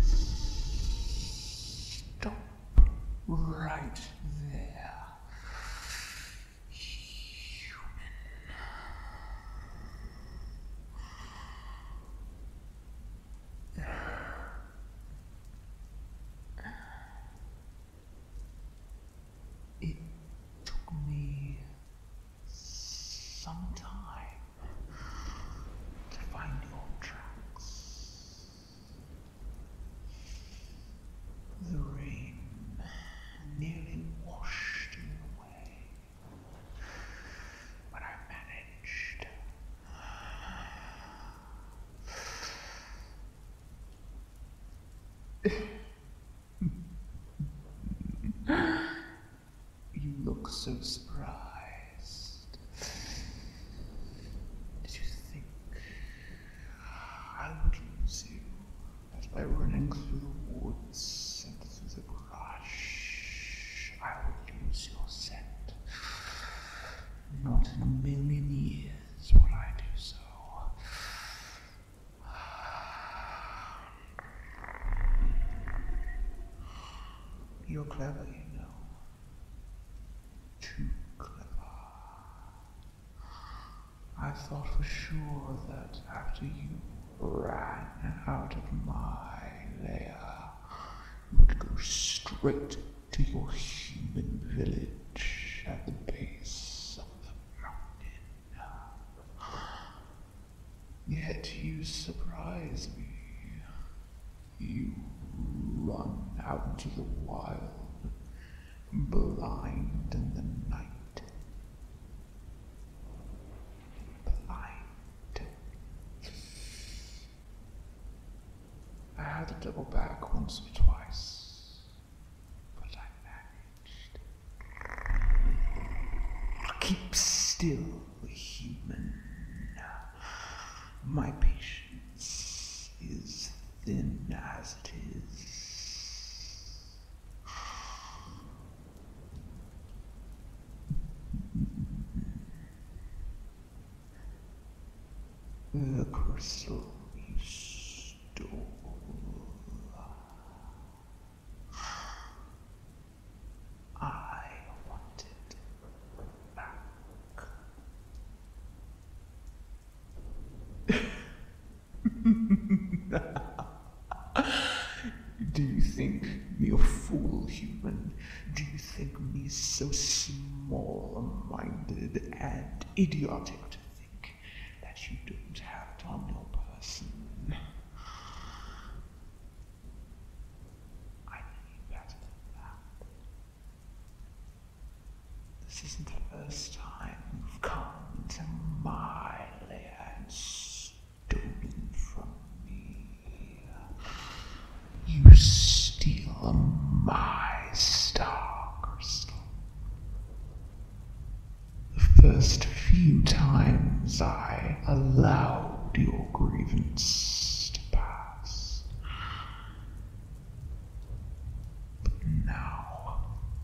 Stop right there it took me some time to find your tracks. The rain nearly washed you away, but I managed you look so surprised. Did you think I would lose you as by running through the woods and through the brush? I would lose your scent. Not in a million years. You're clever, you know. Too clever. I thought for sure that after you ran out of my lair, you would go straight to your human village at the base of the mountain. Yet you surprise me. You run out into the wild, blind in the night. I had to double back once or twice. But I managed. Keep still, human. My patience is thin as it is. The crystal is still. I want back. Do you think me a fool, human? Do you think me so small minded and and idiotic to think that you don't have it on your person. I know better than that. This isn't the first time you've come into my lair stolen from me. You steal my Sky Star Crystal. The first few times I allowed your grievance to pass. But now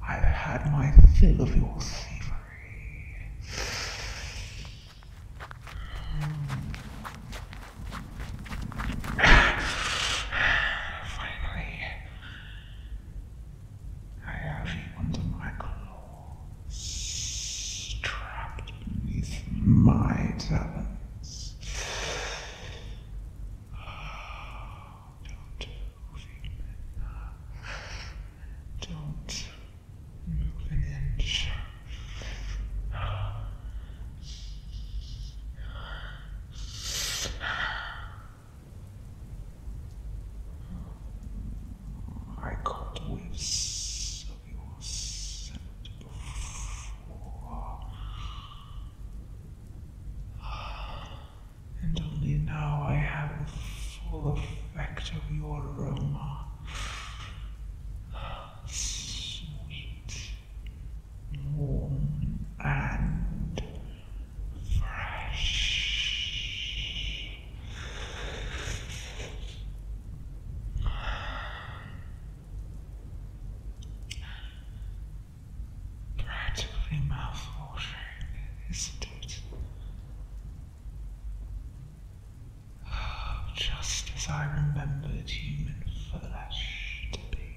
I've had my fill of your thievery. Finally, I have you under my claws, trapped beneath my talons. don't move in. Don't move an inch. I caught whiffs of your scent before, and only now I have the full effect of your aroma. Sweet warm and fresh. Practically mouth isn't it? Oh, just as I remembered human flesh to be.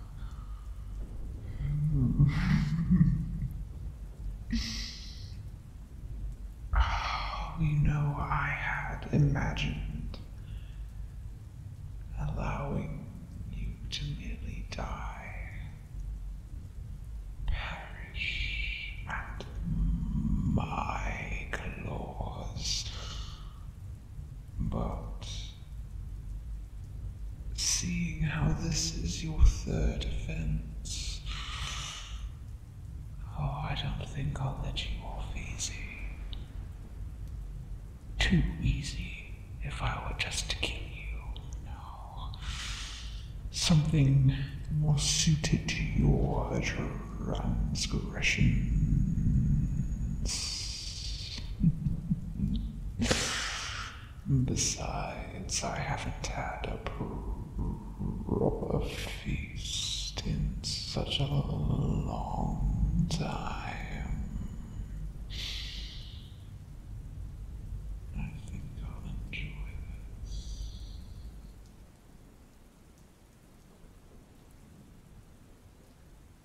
Oh, you know, I had imagined allowing you to merely die, perish at my claws. But seeing how this is your third offense, oh, I don't think I'll let you off easy. Too easy if I were just to kill you. No. Something more suited to your transgression. Besides, I haven't had a proper feast in such a long time. I think I'll enjoy this.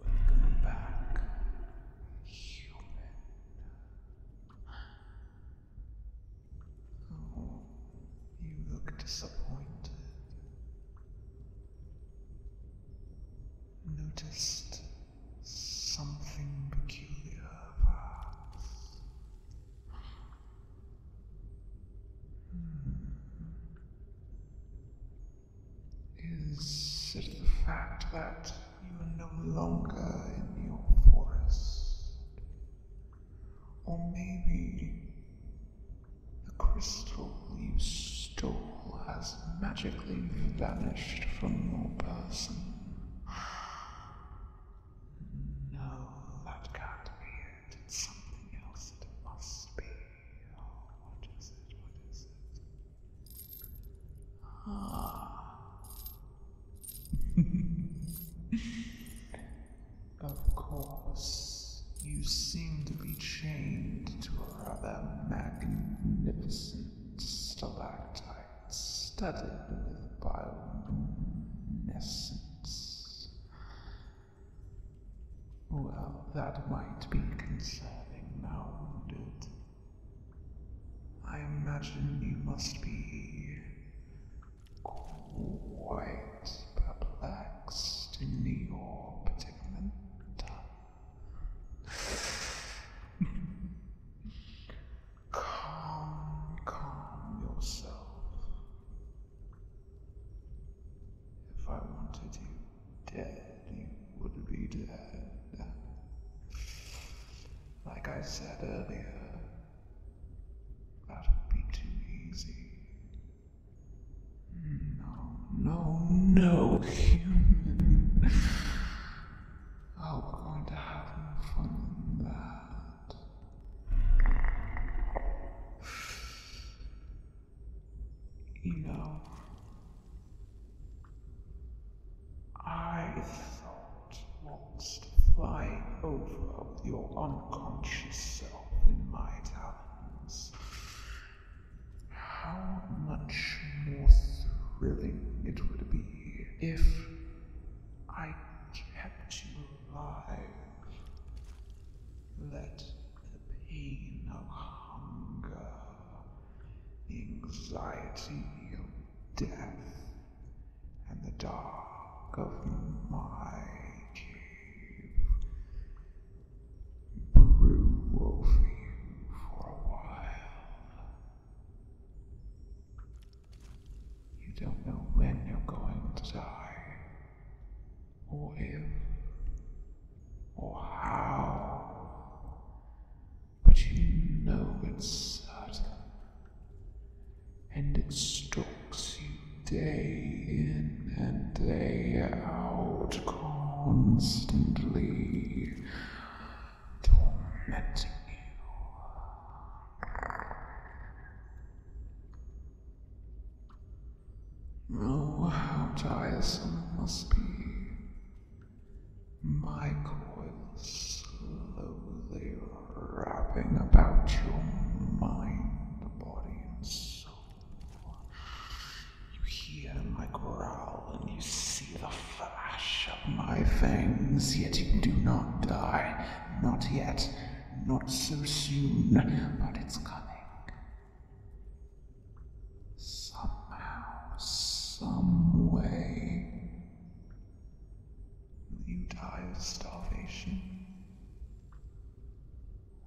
Welcome back, human. Oh, you look disappointed. Noticed something peculiar, Hmm. Is it the fact that you are no longer in your forest? Or maybe the crystal you stole has magically vanished from your person? No, that can't be it. It's something else. It must be. Oh, what is it? What is it? Ah. of course, you seem to be chained to a rather magnificent stalactite sight studded with bioluminescence. Well, that might be concerning now, would it? I imagine you must be quite perplexed in your particular Calm, calm yourself. If I wanted you dead, you would be dead. Like I said earlier, that would be too easy. No, no, no, human. Oh, we going to have fun in that. You know, I thought once to fly over your unconscious self in my talons. How much more thrilling it would be if I kept you alive. Let the pain of hunger, anxiety of death, and the dark of my cave brew over you for a while. You don't know when you're going to die, or if, or how, but you know it's certain, and it stalks you day in and day out constantly. Oh, how tiresome must be. My coil slowly wrapping about your mind, body, and soul. You hear my growl and you see the flash of my fangs, yet you do not die. Not yet. Not so soon, but it's coming. Somehow, someway. Will you die of starvation?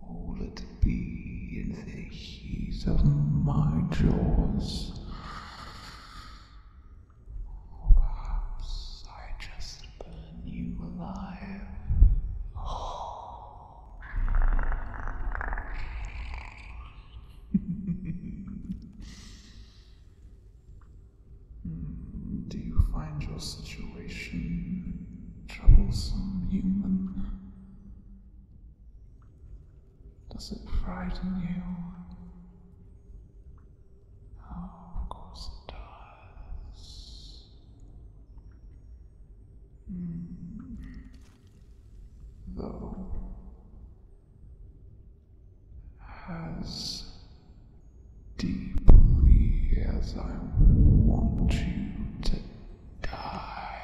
will it be in the heat of my jaws? Or perhaps I just burn you alive. Do you find your situation troublesome, human? Does it frighten you? Oh, Though, as deeply as I want you to die,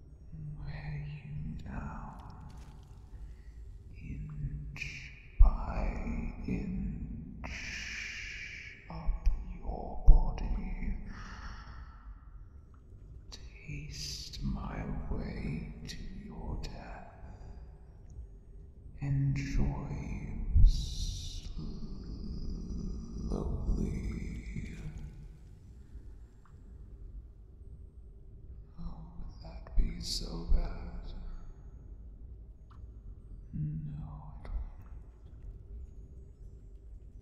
wear you down inch by inch up your body. Taste my way to your death. Enjoy slowly. Oh, would that be so bad? No,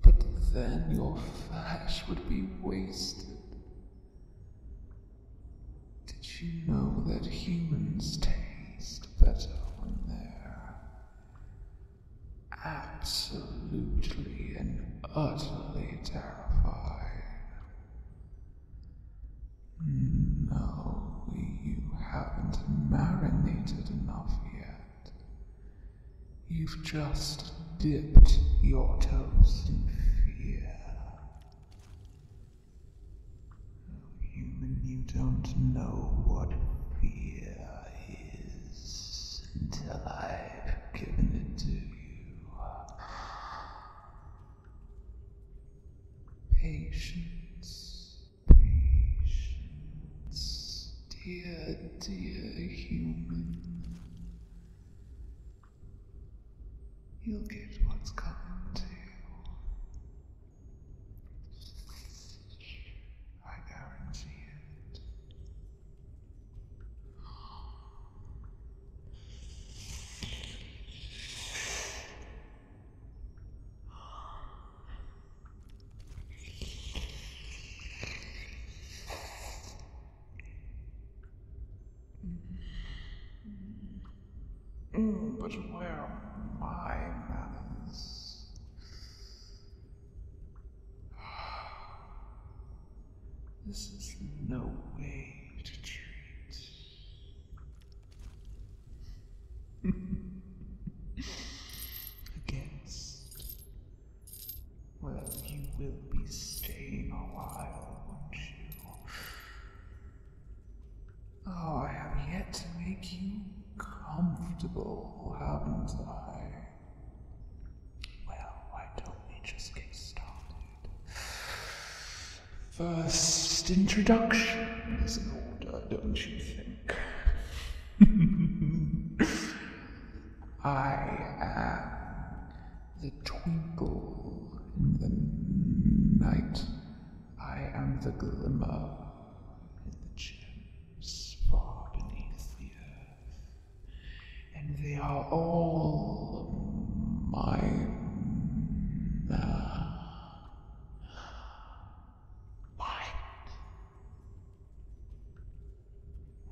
But then your flesh would be wasted. Did you know that humans taste better when they're absolutely and utterly terrible? No, you haven't marinated enough yet. You've just dipped your toes in fear. Human, you don't know what fear is until I've given it to you. Patience, patience, dear, dear human. You'll get what's coming to you. I guarantee it. Mm, but where are my manners? This is no way to treat. Against. Well, you will be staying a while, won't you? Oh, I have yet to make you comfortable, haven't I? Well, why don't we just get started? First introduction is an order, don't you think? I am the twinkle in the night. I am the glimmer in the gems far beneath the earth and they are all mine. Mine.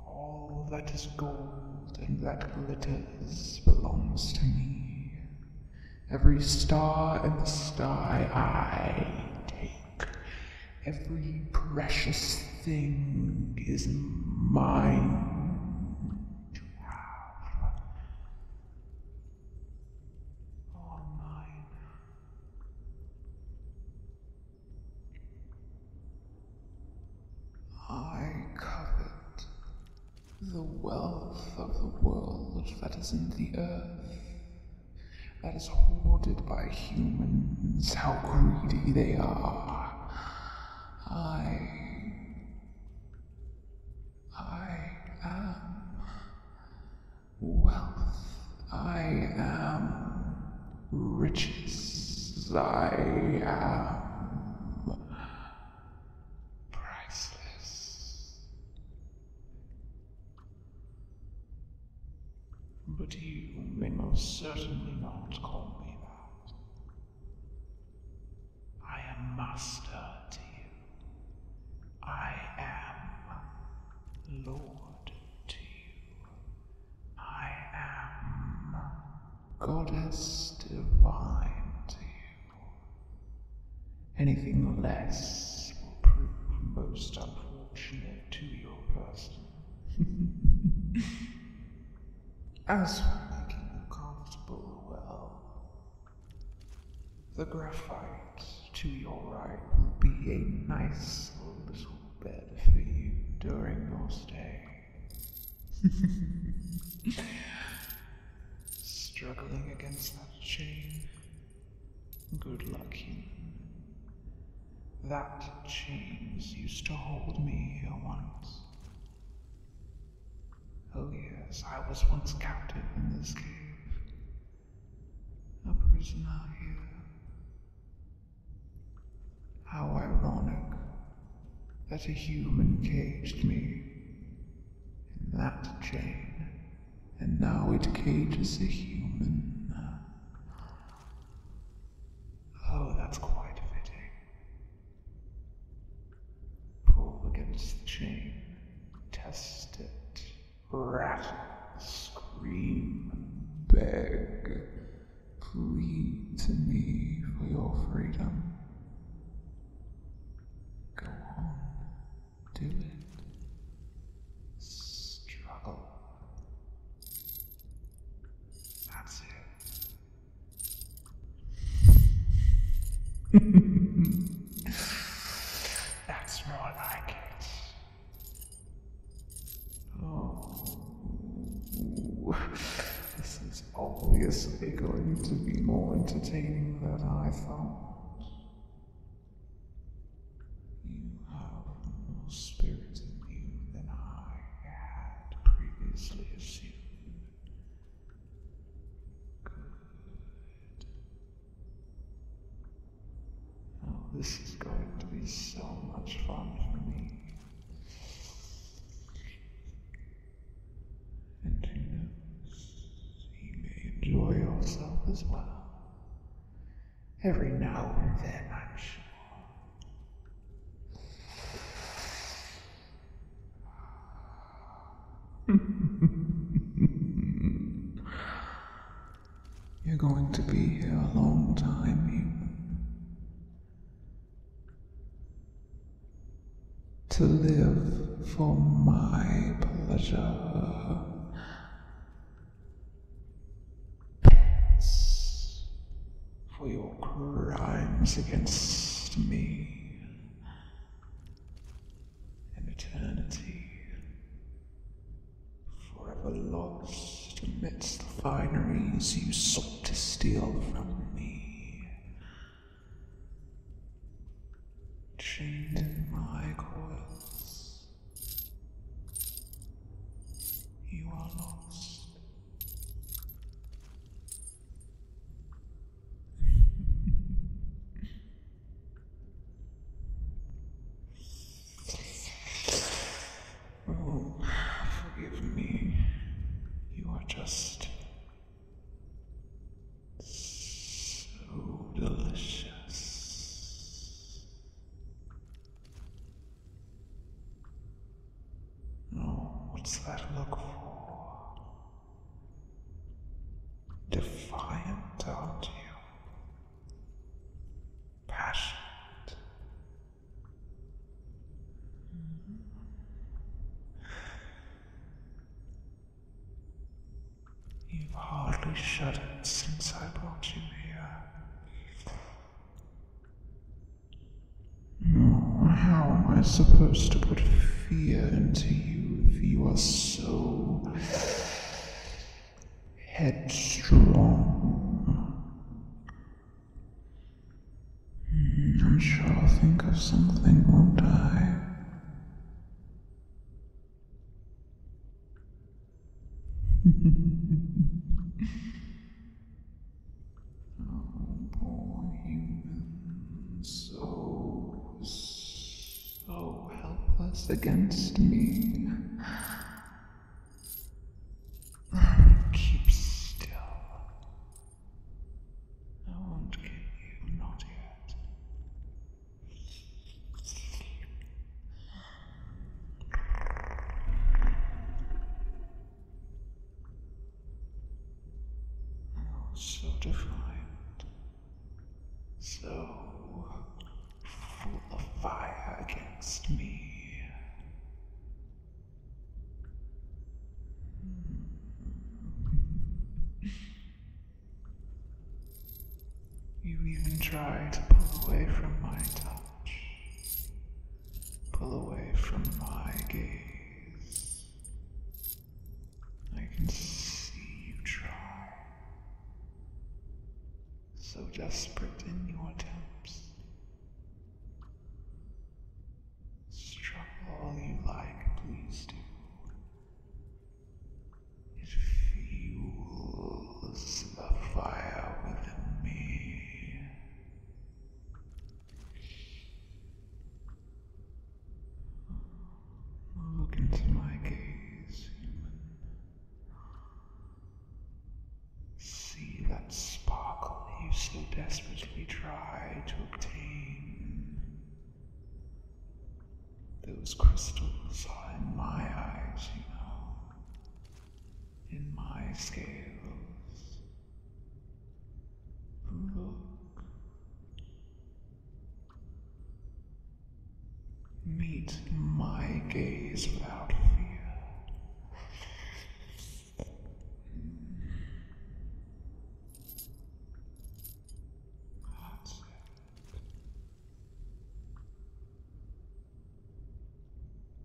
All that is gold and that glitters belongs to me. Every star in the sky I take, Every precious thing is mine to have. All mine. I covet the wealth of the world that is in the earth, that is hoarded by humans, how greedy they are. I. I am wealth. I am riches. I am priceless. But you may most certainly not call me that. I am master to you. I am lord to you. I am goddess divine to you. Anything less will prove most unfortunate to your person. As for making you comfortable, well, the graphite to your right will be a nice little bed for you during your stay. Struggling against that chain? Good luck, human. That chains used to hold me here once. Oh, yes, I was once captive in this cave. A prisoner here. How ironic that a human caged me in that chain, and now it cages a human. Oh, that's quite fitting. Pull against the chain, test it, rattle, scream, beg, plead to me for your freedom. Go on, do it. Struggle. That's it. That's more like it. Oh, this is obviously going to be more entertaining than I thought. You have more spirit in you than I had previously assumed. Good. Now, this is going to be so much fun for me. And who knows, you may enjoy yourself as well. Every now and then, i You're going to be here a long time, human. To live for my pleasure Pence, for your crimes against me. An eternity forever lost amidst the fineries you sought to steal from me. Chained in my coils, you are lost. oh, forgive me. You are just so delicious what's that look for? Defiant, aren't you? Passionate. Mm-hmm. You've hardly shut up since I brought you here. No, how am I supposed to put fear into you if you are so headstrong? Hmm, I'm sure I'll think of something, won't I? oh, you've so, so helpless against me. Keep still. I won't kill you, not yet so defined, so full of fire against me. Hmm. You even try to pull away from my touch, pull away from my gaze. I can see you try, so desperate in your attempts. Struggle all you like, please do. It fuels the fire within me. Look into my gaze, human. See that sparkle you so desperately try to obtain. Those crystals are in my eyes, you know, in my scales. Look. Meet my gaze without fear.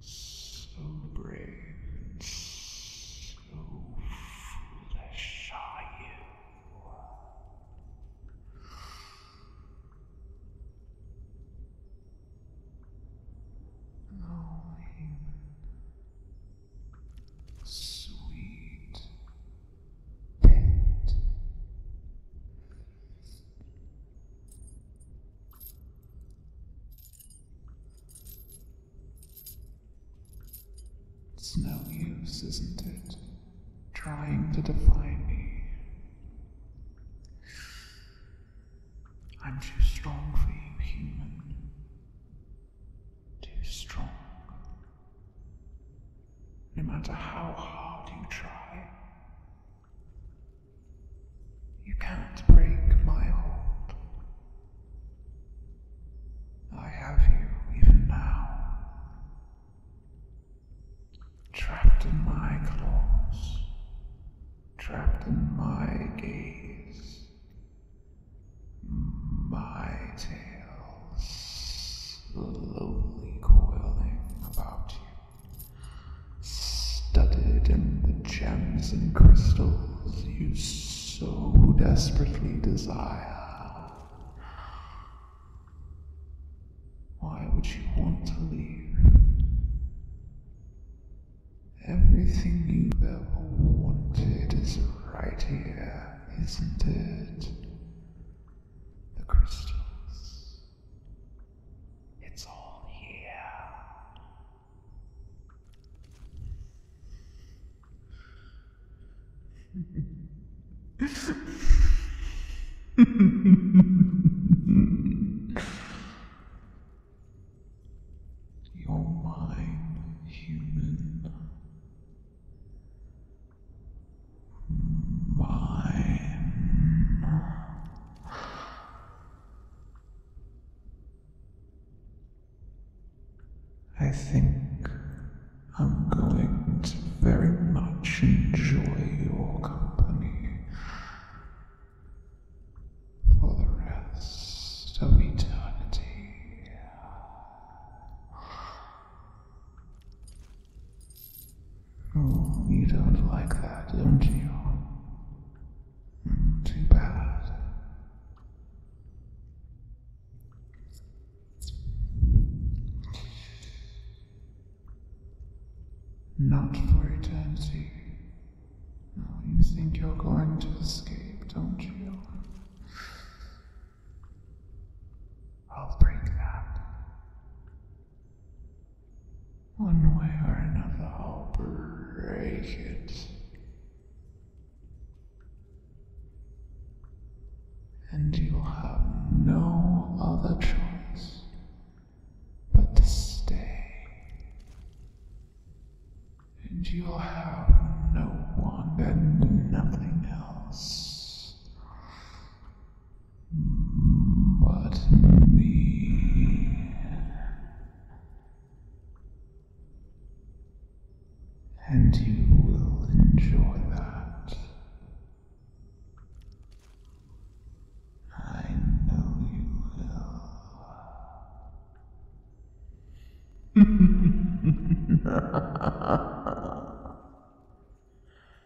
So brave and so foolish are you. Oh, Sweet pet. It's no use, isn't it? Trying to define me. I'm too strong for you, human. Too strong. No matter how hard you try, you can't break my hold. I have you even now, trapped in my claws, trapped in my gaze, my tail slowly coiling about you, studded in the gems and crystals you so desperately desire. Why would you want to leave? Everything you've ever wanted is right here, isn't it? the crystals. It's all here. You're human mine. I think I'm going to very much enjoy your company for the rest of eternity. Oh, you don't like that, don't you? Mm, too bad. Not for eternity. Oh, you think you're going to escape, don't you? I'll break that. One way or another, I'll break it. And you'll have no other choice but to stay. And you'll have no one and nothing else but me. And you will enjoy that. I know you will.